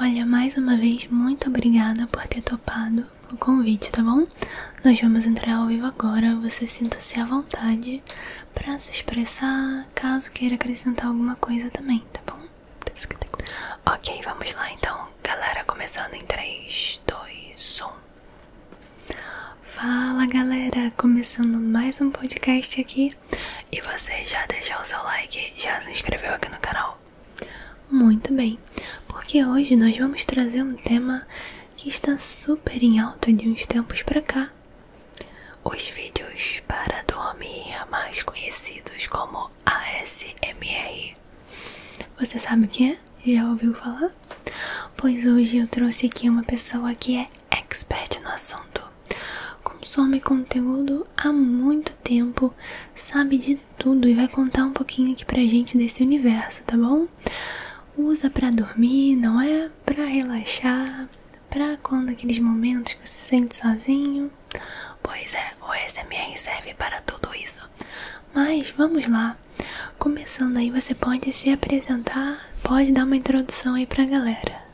Olha, mais uma vez, muito obrigada por ter topado o convite, tá bom? Nós vamos entrar ao vivo agora. Você sinta-se à vontade para se expressar, caso queira acrescentar alguma coisa também, tá bom? Ok, vamos lá então, galera. Começando em 3, 2, 1. Fala galera, começando mais um podcast aqui. E você já deixou o seu like? Já se inscreveu aqui no canal? Muito bem, porque hoje nós vamos trazer um tema que está super em alta de uns tempos para cá. Os vídeos para dormir, mais conhecidos como ASMR. Você sabe o que é? Já ouviu falar? Pois hoje eu trouxe aqui uma pessoa que é expert no assunto. Consome conteúdo há muito tempo, sabe de tudo e vai contar um pouquinho aqui pra gente desse universo, tá bom? Usa pra dormir, não é? Pra relaxar, pra quando aqueles momentos que você se sente sozinho. Pois é, o SMR serve para tudo isso. Mas vamos lá. Começando aí, você pode se apresentar, pode dar uma introdução aí pra galera.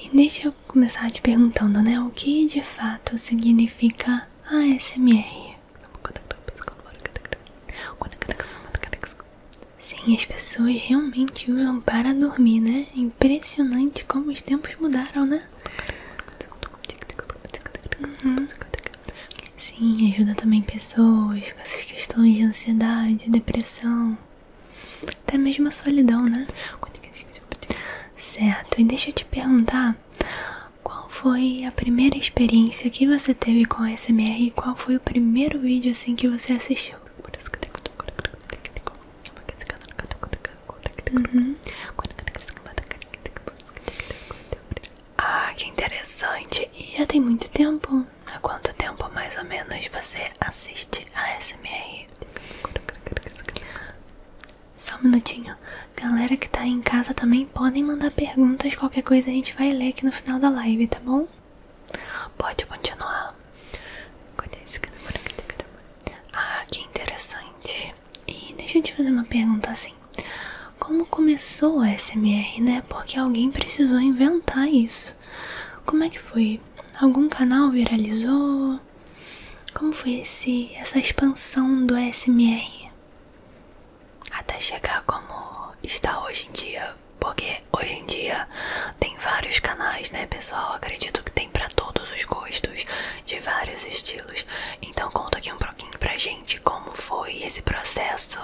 E deixa eu começar te perguntando, né? O que de fato significa ASMR? Sim, as pessoas realmente usam para dormir, né? É impressionante como os tempos mudaram, né? Uhum. Sim, ajuda também pessoas com essas questões de ansiedade, depressão, até mesmo a solidão, né? Certo, e deixa eu te perguntar qual foi a primeira experiência que você teve com a SMR e qual foi o primeiro vídeo assim que você assistiu? Uhum. Ah, que interessante! E já tem muito tempo? Há quanto tempo mais ou menos você assiste a SMR? Só um minutinho. Galera que tá aí em casa também podem mandar perguntas, qualquer coisa a gente vai ler aqui no final da live, tá bom? Pode continuar. Ah, que interessante. E deixa eu te fazer uma pergunta assim. Como começou o SMR, né? Porque alguém precisou inventar isso. Como é que foi? Algum canal viralizou? Como foi esse, essa expansão do SMR? Até chegar como está hoje em dia. Porque hoje em dia tem vários canais, né, pessoal? Acredito que tem para todos os gostos, de vários estilos. Então conta aqui um pouquinho pra gente gente como foi esse processo.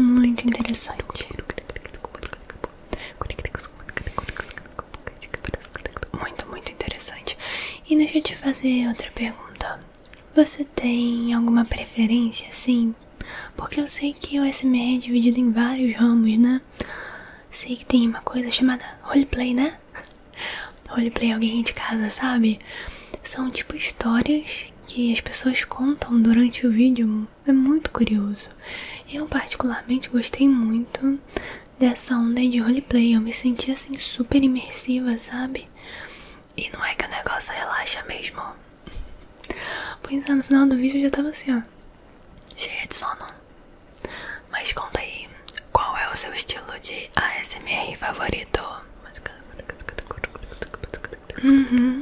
Muito interessante. Muito, muito interessante. E deixa eu te fazer outra pergunta. Você tem alguma preferência, sim porque eu sei que o SMR é dividido em vários ramos, né? Sei que tem uma coisa chamada roleplay, né? Roleplay é alguém de casa, sabe? São tipo histórias que as pessoas contam durante o vídeo. É muito curioso. Eu particularmente gostei muito dessa onda de roleplay. Eu me senti assim super imersiva, sabe? E não é que o negócio relaxa mesmo. Pois é, no final do vídeo eu já tava assim, ó, cheia de sono. Mas conta aí, qual é o seu estilo de ASMR favorito? Uhum.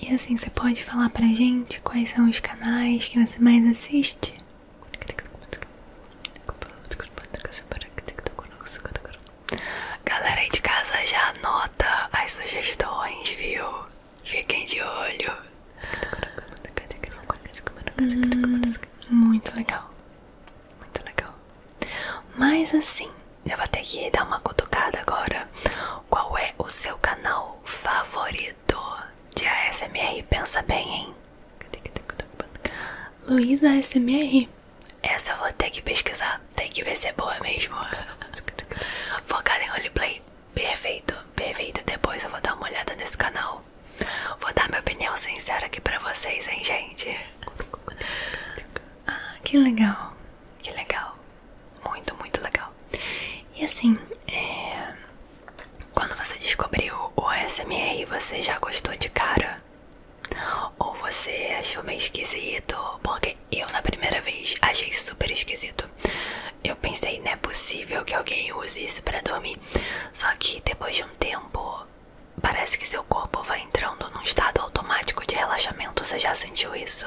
E assim, você pode falar pra gente quais são os canais que você mais assiste? Galera aí de casa já anota as sugestões, viu? Fiquem de olho. Hum, muito legal. Muito legal. Mas assim, eu vou ter que dar uma cutucada agora. Qual é o seu canal favorito de ASMR? Pensa bem, hein? Luísa ASMR? Essa eu vou ter que pesquisar. Tem que ver se é boa mesmo. Focada em roleplay. Perfeito, perfeito. Depois eu vou dar uma olhada nesse canal. Vou dar minha opinião sincera aqui pra vocês, hein, gente? Ah, que legal. Que legal. Muito, muito legal. E assim, é... quando você descobriu o ASMR, você já gostou de cara? Ou você achou meio esquisito, porque eu na primeira vez achei super esquisito. Eu pensei, né, é possível que alguém use isso para dormir. Só que depois de um tempo, parece que seu corpo vai entrando num estado automático de relaxamento. Você já sentiu isso?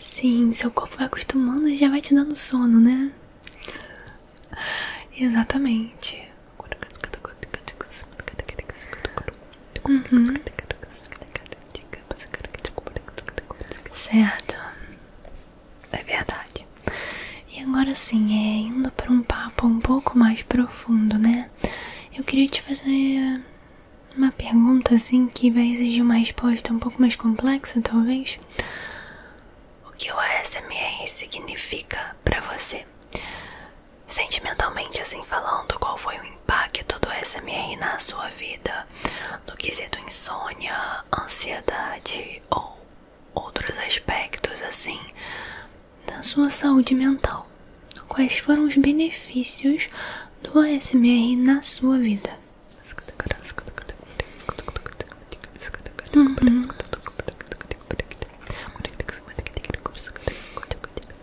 Sim, seu corpo vai acostumando e já vai te dando sono, né? Exatamente. Certo, é verdade. E agora sim, é, indo para um papo um pouco mais profundo, né? Eu queria te fazer uma pergunta assim que vai exigir uma resposta um pouco mais complexa, talvez o que o ASMR significa para você. Sentimentalmente, assim falando, qual foi o impacto do ASMR na sua vida? No quesito insônia, ansiedade ou outros aspectos, assim, na sua saúde mental? Quais foram os benefícios do ASMR na sua vida?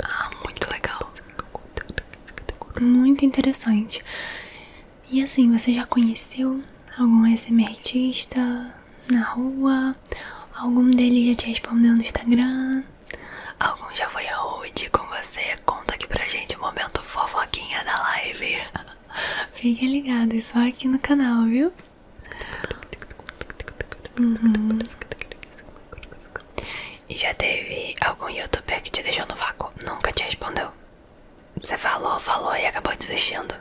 Ah, muito legal. Muito interessante. E assim, você já conheceu algum SMR artista na rua? Algum deles já te respondeu no Instagram? Algum já foi rude com você? Conta aqui pra gente o momento fofoquinha da live. Fique ligado, é só aqui no canal, viu? Uhum. E já teve algum youtuber que te deixou no vácuo? Nunca te respondeu. Você falou, falou e acabou desistindo.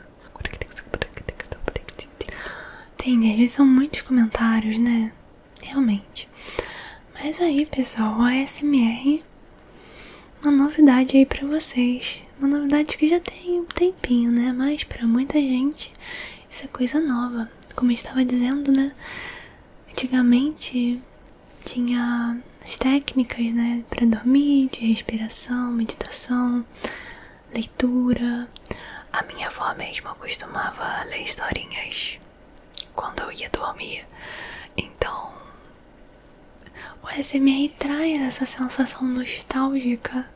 Tem, às vezes são muitos comentários, né? Realmente. Mas aí, pessoal, o ASMR uma novidade aí para vocês. Uma novidade que já tem um tempinho, né? Mas para muita gente isso é coisa nova. Como eu estava dizendo, né? Antigamente tinha as técnicas, né, para dormir, de respiração, meditação, leitura. A minha avó mesmo costumava ler historinhas quando eu ia dormir. Então, o SMR traz essa sensação nostálgica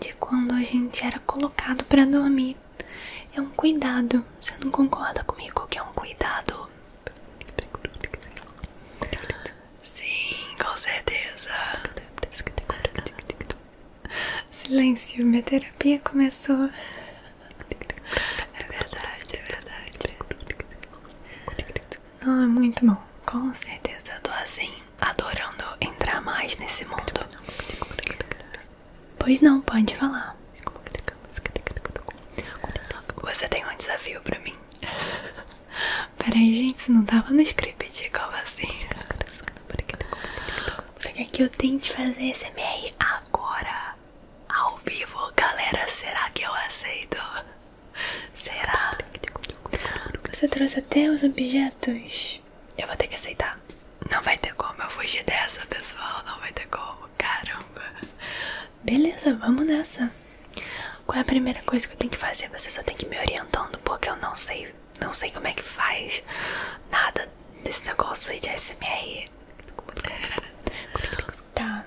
de quando a gente era colocado para dormir. É um cuidado. Você não concorda comigo que é um cuidado? Sim, com certeza. Silêncio, minha terapia começou. É verdade, é verdade. Não, é muito bom. Com certeza, eu tô assim, adorando entrar mais nesse mundo. Pois não, pode falar. Você tem um desafio pra mim. Peraí, gente, isso não tava no script, como assim? Você quer que eu tente fazer esse SMR agora? Ao vivo, galera, será que eu aceito? Será? Você trouxe até os objetos. Eu vou ter que aceitar. Não vai ter como eu fugir dessa, pessoal. Não vai ter como. Caramba. Beleza, vamos nessa. Qual é a primeira coisa que eu tenho que fazer? Você só tem que me orientando, porque eu não sei. Não sei como é que faz nada desse negócio aí de SMR. tá.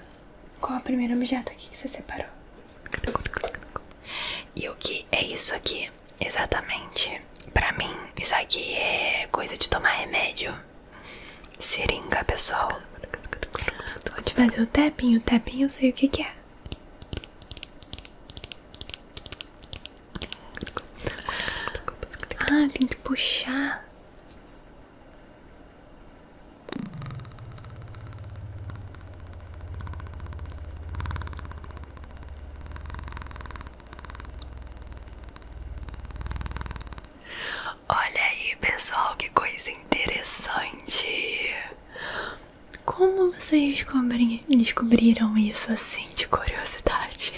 Qual o primeiro objeto aqui que você separou? E o que é isso aqui? Exatamente. Pra mim, isso aqui é coisa de tomar remédio. Seringa, pessoal. Vou te fazer o tapinho. O tapinho eu sei o que, que é. Ah, tem que puxar. Olha aí, pessoal, que coisa interessante! Como vocês descobriram isso assim de curiosidade?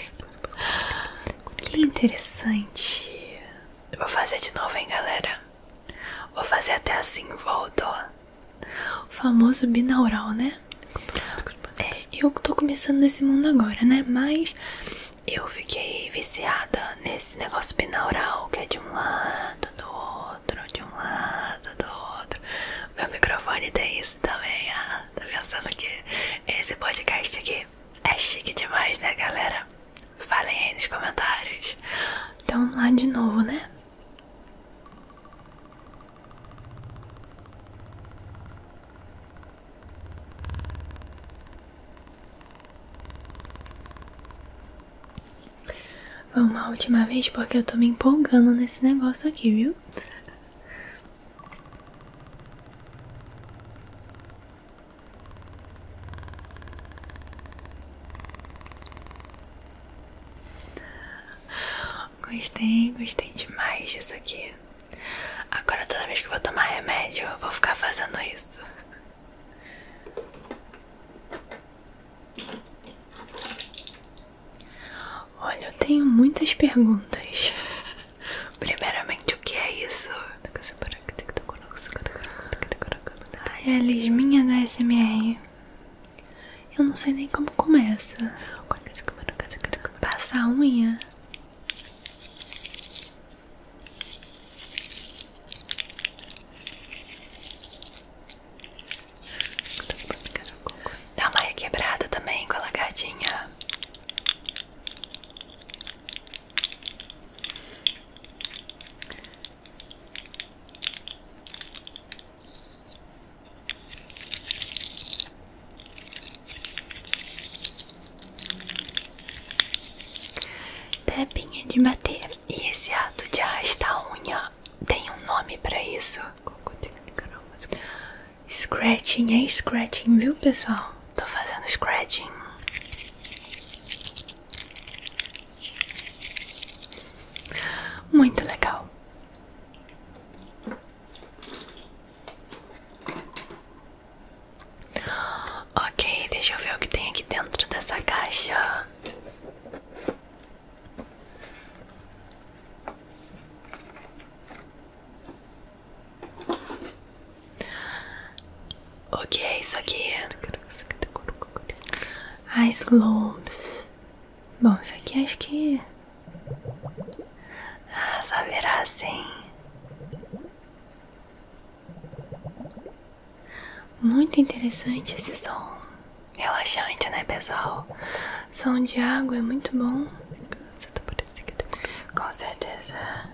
Que interessante! Vou fazer de novo, hein, galera? Vou fazer até assim, volto. O famoso binaural, né? É, eu tô começando nesse mundo agora, né? Mas eu fiquei viciada nesse negócio binaural que é de um lado, do outro, de um lado, do outro. Meu microfone tem isso também. Ah, tô pensando que esse podcast aqui é chique demais, né, galera? Falem aí nos comentários. Então vamos lá de novo, né? Vamos uma última vez porque eu tô me empolgando nesse negócio aqui, viu? Gostei, gostei demais disso aqui. Agora toda vez que eu vou tomar remédio, eu vou ficar fazendo isso. Olha, eu tenho muitas perguntas. Primeiramente, o que é isso? Ai, é a lisminha do SMR. Eu não sei nem como começa. Passar a unha. Dá uma requebrada também com a lagartinha. Tapinha de bater. E esse ato de arrastar a unha tem um nome para isso? Scratching é scratching, viu pessoal? Tô fazendo scratching. Muito legal. Ok, deixa eu ver o que tem aqui dentro dessa caixa. O que é isso aqui? Ice Globes. Bom, isso aqui acho que. Ah, saberá sim. Muito interessante esse som. Relaxante, né, pessoal? Som de água é muito bom. Tá com certeza.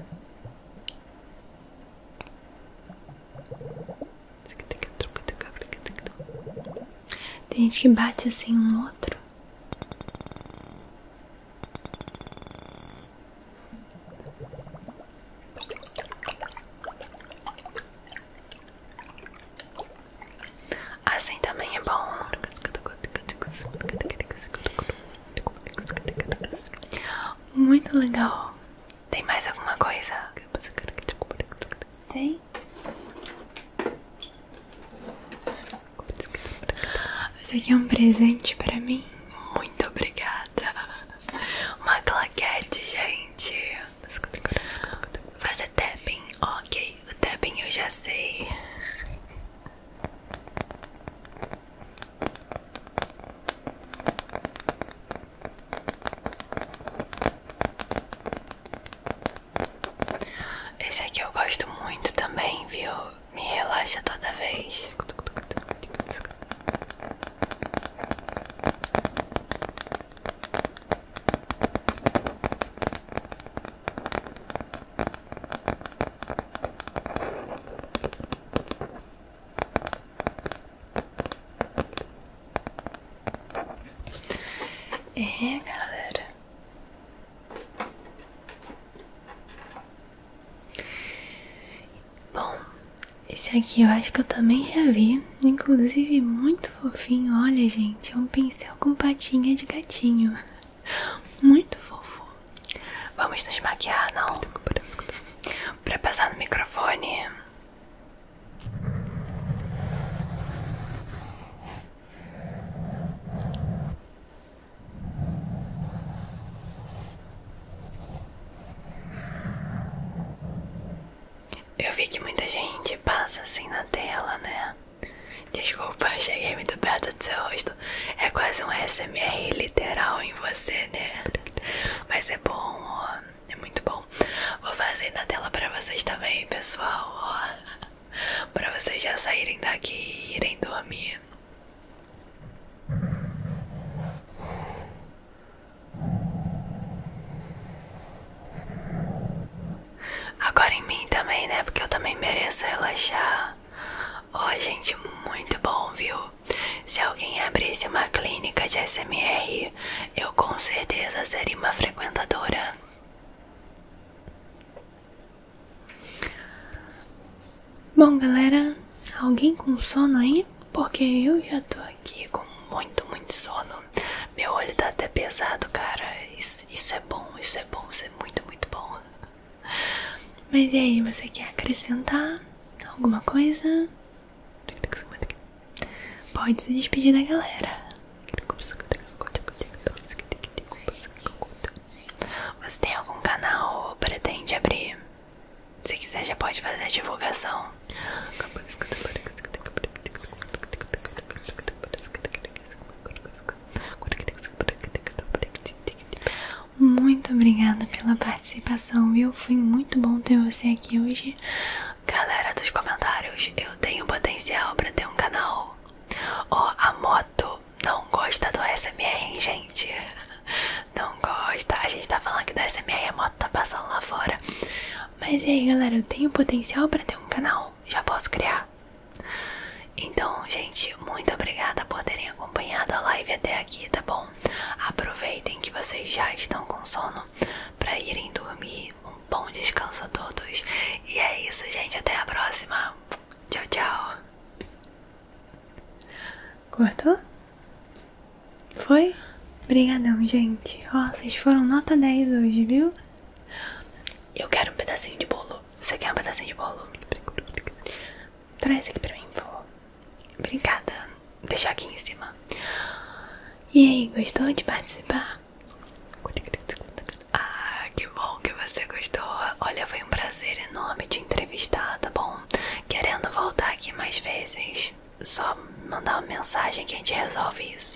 Tem gente que bate assim um no outro. Assim também é bom. Muito legal. Tem mais alguma coisa? Tem? Esse aqui é um presente pra mim. Muito obrigada. Uma claquete, gente. Fazer tapping. Ok, o tapping eu já sei. Esse aqui eu gosto muito também, viu? Me relaxa toda vez. É, galera. Bom, esse aqui eu acho que eu também já vi, inclusive muito fofinho. Olha, gente, é um pincel com patinha de gatinho. Muito fofo. Vamos nos maquiar, não? Pra passar no microfone. Eu vi que muita gente passa assim na tela, né? Desculpa, cheguei muito perto do seu rosto. É quase um SMR literal em você, né? Mas é bom, É muito bom. Vou fazer na tela pra vocês também, pessoal, ó. Pra vocês já saírem daqui e irem dormir. Agora em mim também, né? Porque eu também mereço relaxar. Ó, gente, muito bom, viu? Se alguém abrisse uma clínica de SMR, eu com certeza seria uma frequentadora. Bom, galera, alguém com sono aí? Porque eu já tô aqui com muito, muito sono. Meu olho tá até pesado, cara. Isso, é bom, isso é bom, isso é muito, muito bom. Mas e aí, você quer acrescentar alguma coisa? Pode se despedir da galera. Você tem algum canal ou pretende abrir? Se quiser, já pode fazer a divulgação. Muito obrigada pela participação, viu? Foi muito bom ter você aqui hoje. Galera dos comentários, eu tenho potencial para ter um canal. Ó, a moto não gosta do SMR, gente? Não gosta. A gente tá falando aqui do SMR a moto tá passando lá fora. Mas e aí, galera, eu tenho potencial para ter um canal já posso criar. Então, gente, muito obrigada por terem acompanhado a live até aqui, tá bom? Aproveitem que vocês já estão com sono para irem dormir. Um bom descanso a todos. E é isso, gente. Até a próxima. Tchau, tchau. Cortou? Foi? Obrigadão, gente. Ó, vocês foram nota 10 hoje, viu? Eu quero um pedacinho de bolo. Você quer um pedacinho de bolo? Traz aqui pra mim, por favor. Obrigada. deixar aqui em cima. E aí, gostou de participar? Ah, que bom que você gostou. Olha, foi um prazer enorme te entrevistar, tá bom? Querendo voltar aqui mais vezes, só mandar uma mensagem que a gente resolve isso.